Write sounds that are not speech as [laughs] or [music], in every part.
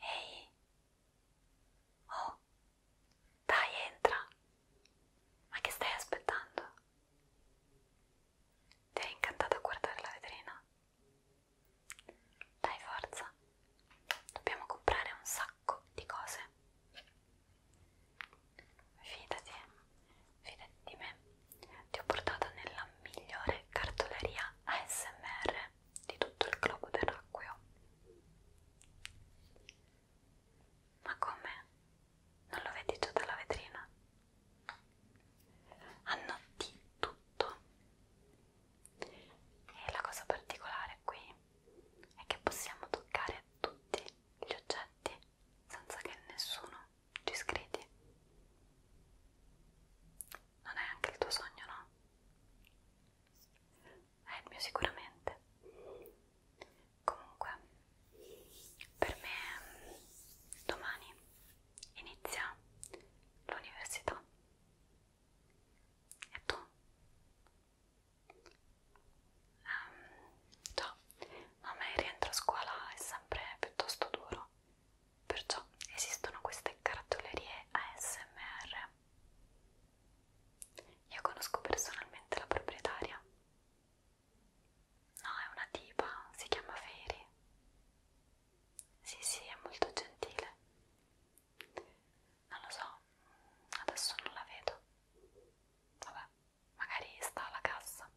Ehi! Oh! Dai, entra! Ma che stai aspettando? Ti è incantato a guardare la vetrina? Dai, forza! Dobbiamo comprare un sacco di cose. Fidati, fidati di me, ti ho portato nella migliore cartoleria ASMR di tutto il globo terracqueo. Ma come? Non lo vedi già dalla vetrina? Hanno di tutto. E la cosa particolare qui è che possiamo toccare tutti gli oggetti senza che nessuno ci scrivi. Non è anche il tuo sogno, no? È il mio sicuramente. Comunque, per me domani inizia l'università. E tu? Um, ciao ma a me il rientro a scuola è sempre piuttosto duro, perciò esistono queste cartolerie ASMR. Io conosco personalmente la proprietaria. No, è una tipa, si chiama Feri. Sì, sì, è molto gentile. Non lo so, adesso non la vedo. Vabbè, magari sta alla cassa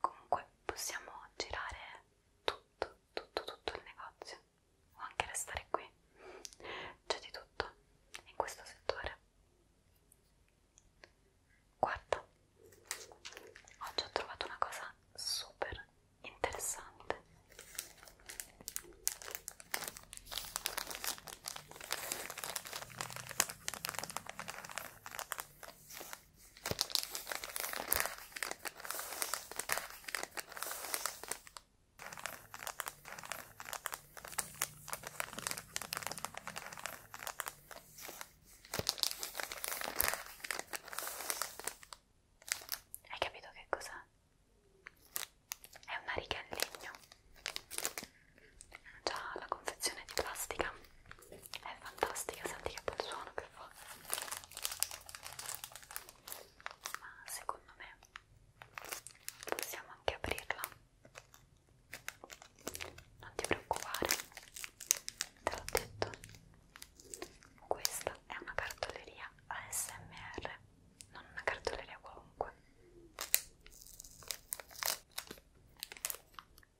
comunque possiamo girare tutto tutto tutto il negozio o anche restare qui c'è di tutto in questo settore guarda oggi ho trovato una cosa super interessante hai capito che cos'è? È una riga in legno già la confezione di plastica è fantastica, senti che bel suono che fa ma secondo me possiamo anche aprirla non ti preoccupare te l'ho detto questa è una cartoleria ASMR non una cartoleria qualunque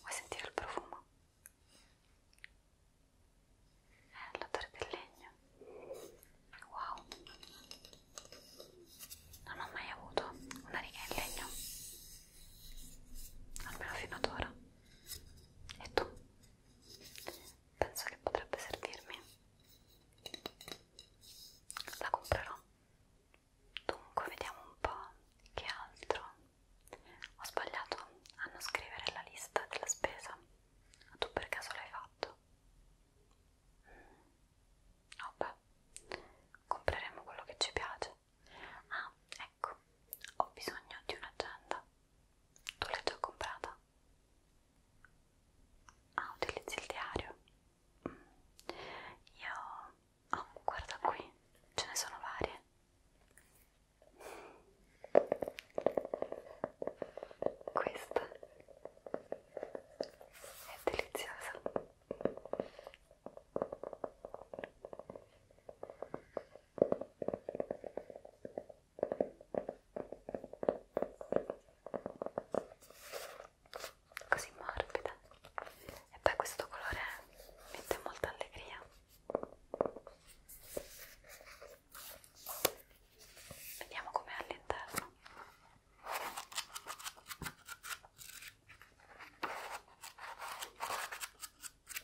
Vuoi sentire il profumo? Eh, l'odore del legno. Wow! Non ho mai avuto una riga in legno. Almeno fino ad ora. E tu? penso che potrebbe servirmi la comprerò dunque vediamo un po' che altro ho sbagliato a non scrivere la lista della spesa ma tu per caso l'hai fatto? vabbè mm. oh compreremo quello che ci piace ah ecco ho bisogno di un'agenda tu l'hai già comprata? Ah, utilizzi il diario? Mm. Io... Oh, guarda qui, ce ne sono varie. Questa è deliziosa così morbida e poi questo colore mette molta allegria vediamo com'è all'interno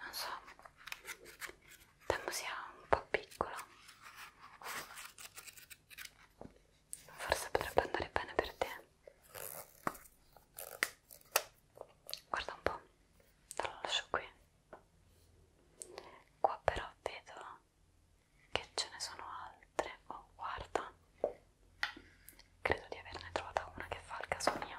non so temo sia un po' piccola forse potrebbe andare bene per te guarda un po' te lo lascio qui qua però vedo che ce ne sono altre oh guarda credo di averne trovata una che fa il caso mio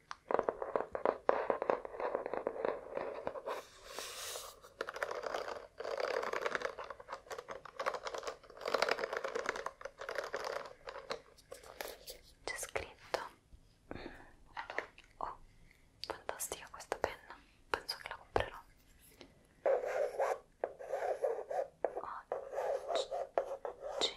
C'è scritto Oh, fantastica questa penna, penso che la comprerò Oggi Faccio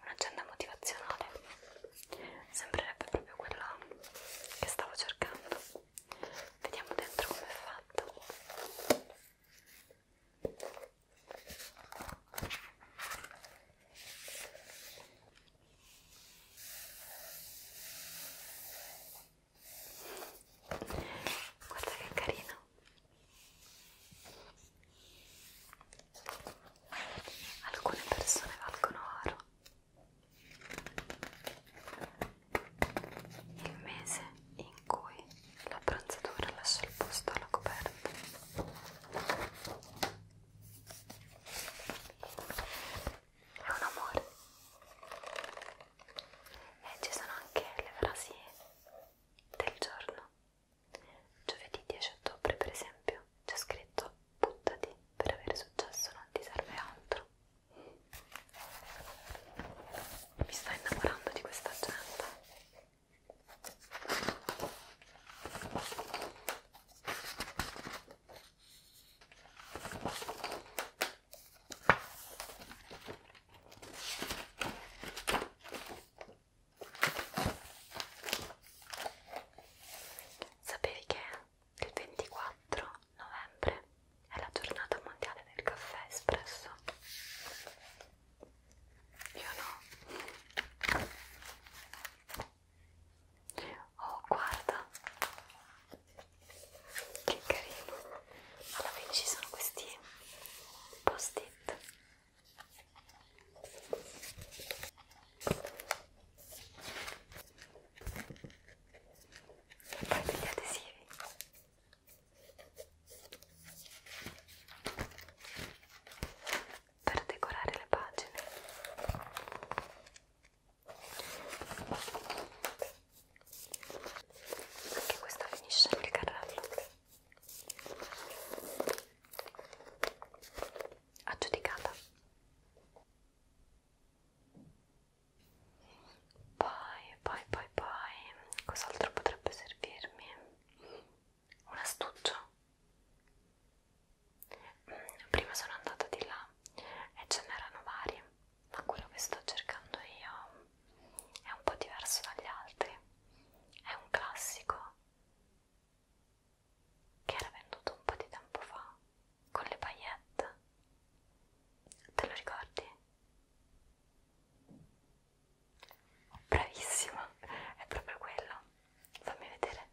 Un'agenda motivazionale sembrerebbe proprio quella che stavo cercando. Vediamo dentro come è fatta. Guarda che carino. Alcune persone valgono oro. Il mese in cui l'abbronzatura lascia il posto alla coperta è un amore e eh, ci sono anche le frasi del giorno giovedì 10 ottobre per esempio c'è scritto buttati per avere successo non ti serve altro mi sto innamorando di questa gente Sapevi che il 24 novembre è la giornata mondiale del caffè espresso? Io no. Oh, guarda. Che carino. Alla fine ci sono questi post-it. E poi degli adesivi per decorare le pagine anche questo finisce nel carrello aggiudicata poi, poi, poi, poi, cos'altro potrebbe servirmi? Un astuccio. Mm, prima sono andata di là e ce n'erano vari, ma quello che sto cercando io è un po' diverso dagli altri. È un classico che era venduto un po' di tempo fa con le paillette. Te lo ricordi? Bravissima, è proprio quello. Fammi vedere.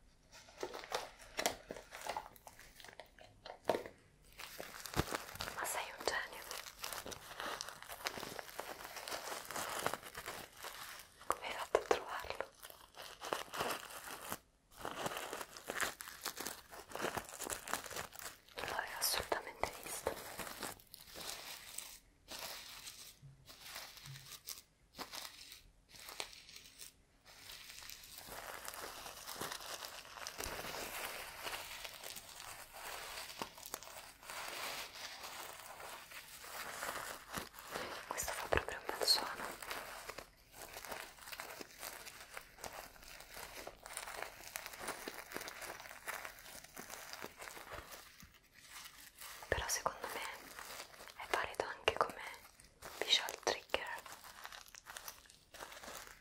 Ma sei un genio. Come hai fatto a trovarlo? non l'avevo assolutamente visto questo fa proprio un bel suono però secondo me è valido anche come visual trigger.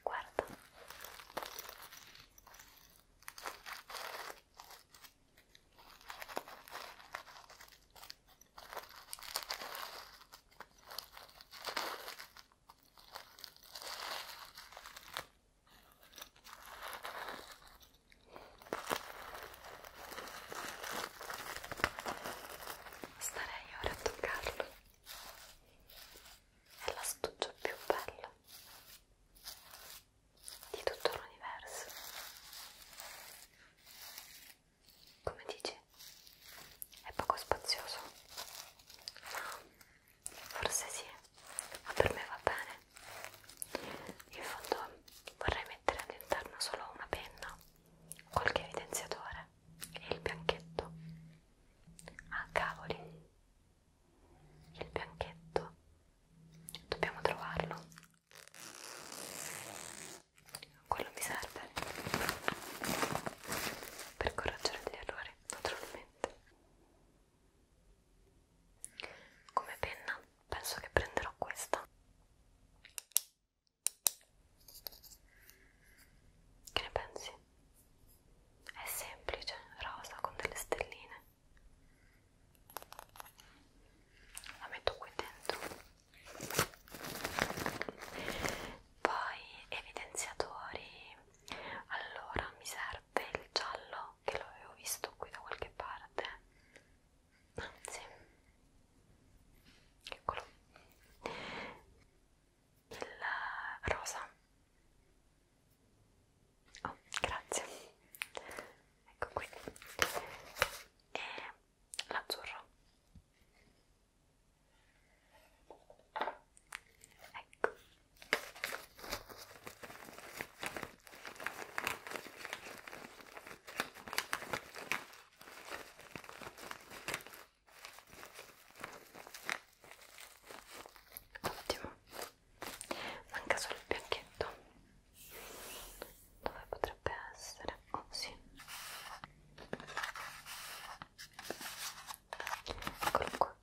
Guarda. Starei ora a toccarlo. È l'astuccio più bello di tutto l'universo. Come dici? È poco spazioso. Forse sì, ma per me va bene. In fondo vorrei mettere all'interno solo una penna, qualche evidenziatore e il bianchetto. Ah cavoli, il bianchetto. Dobbiamo trovarlo. Quello mi serve per correggere gli errori, naturalmente niente come penna penso che prenderò questa che ne pensi? è semplice, rosa con delle stelline la metto qui dentro poi evidenziatori allora mi serve il giallo che l'avevo visto qui da qualche parte anzi eccolo il rosa oh grazie ecco qui e l'azzurro Ecco. Ottimo. Manca solo il bianchetto. Dove potrebbe essere? Oh sì. Eccolo qua.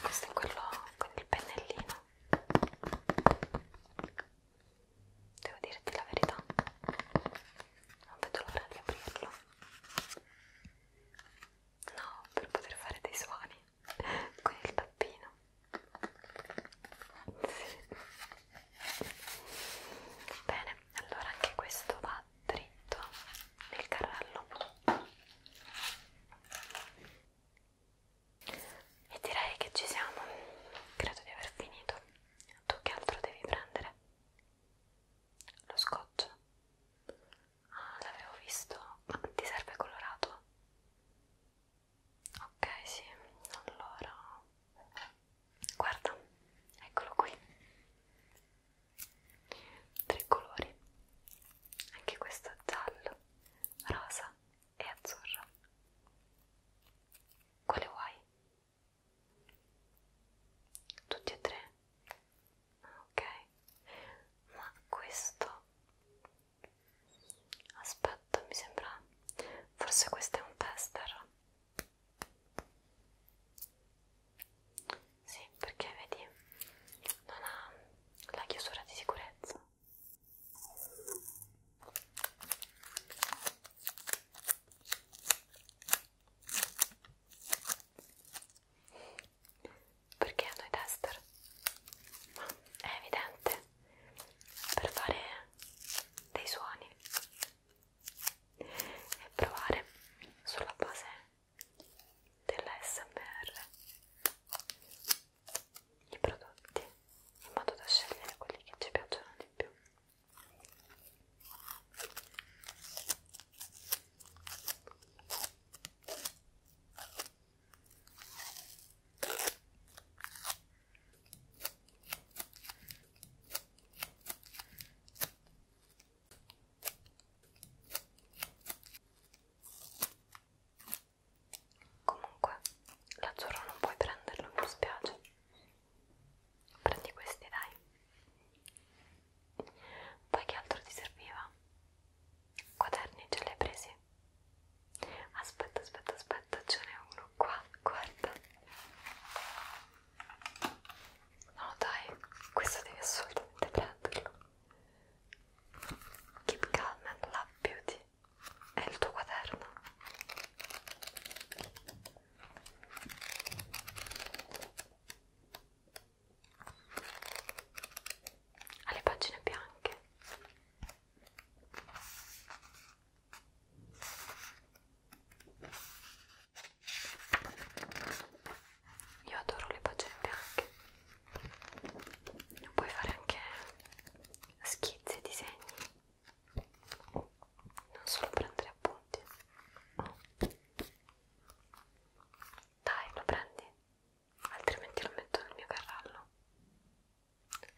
Questo è quello con il pennellino. Devo dirti la verità. Non vedo l'ora di aprirlo. No, per poter fare dei suoni con il tappino sì. bene allora anche questo va dritto nel carrello e direi che ci siamo credo di aver finito tu che altro devi prendere? lo scotch? ah l'avevo visto ma ti serve colorato? ok sì allora guarda eccolo qui tre colori anche questo giallo rosa e azzurro quale vuoi tutti e tre ok ma questo aspetta mi sembra forse questo è un tester sì perché vedi non ha la chiusura di sicurezza perché a noi tester ma è evidente per fare dei suoni e provare sulla base dell'ASMR i prodotti in modo da scegliere quelli che ci piacciono di più Comunque, l'azzurro non puoi prenderlo, mi spiace. Prendi questi, dai. Poi che altro ti serviva? Quaderni ce li hai presi? Aspetta, aspetta, aspetta, ce n'è uno qua, guarda. No dai, questo devi assolutamente prenderlo. Keep Calm and Love Beauty è il tuo quaderno alle pagine bianche io adoro le pagine bianche puoi fare anche schizzi, disegni non solo prendere appunti dai lo prendi? altrimenti lo metto nel mio carrello.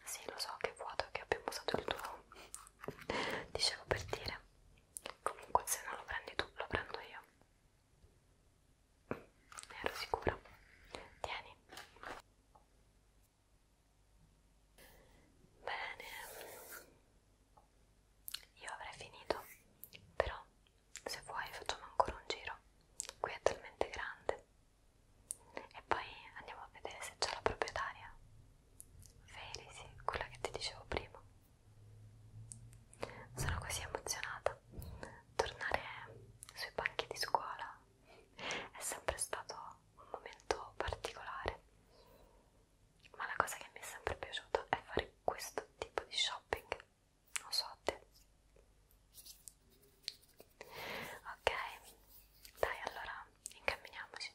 Sì, lo so che è vuoto che abbiamo usato il tuo. [laughs] Dicevo per dire. Comunque se non lo prendi tu, lo prendo io. Ne ero sicura. Tieni. Bene. Io avrei finito, però se vuoi facciamo ancora un giro qui è talmente grande e poi andiamo a vedere se c'è la proprietaria Felisi, quella che ti dicevo prima sono così emozionata tornare sui banchi di scuola è sempre stato un momento particolare ma la cosa che mi è sempre piaciuta è fare questo tipo di shopping non so te ok dai allora incamminiamoci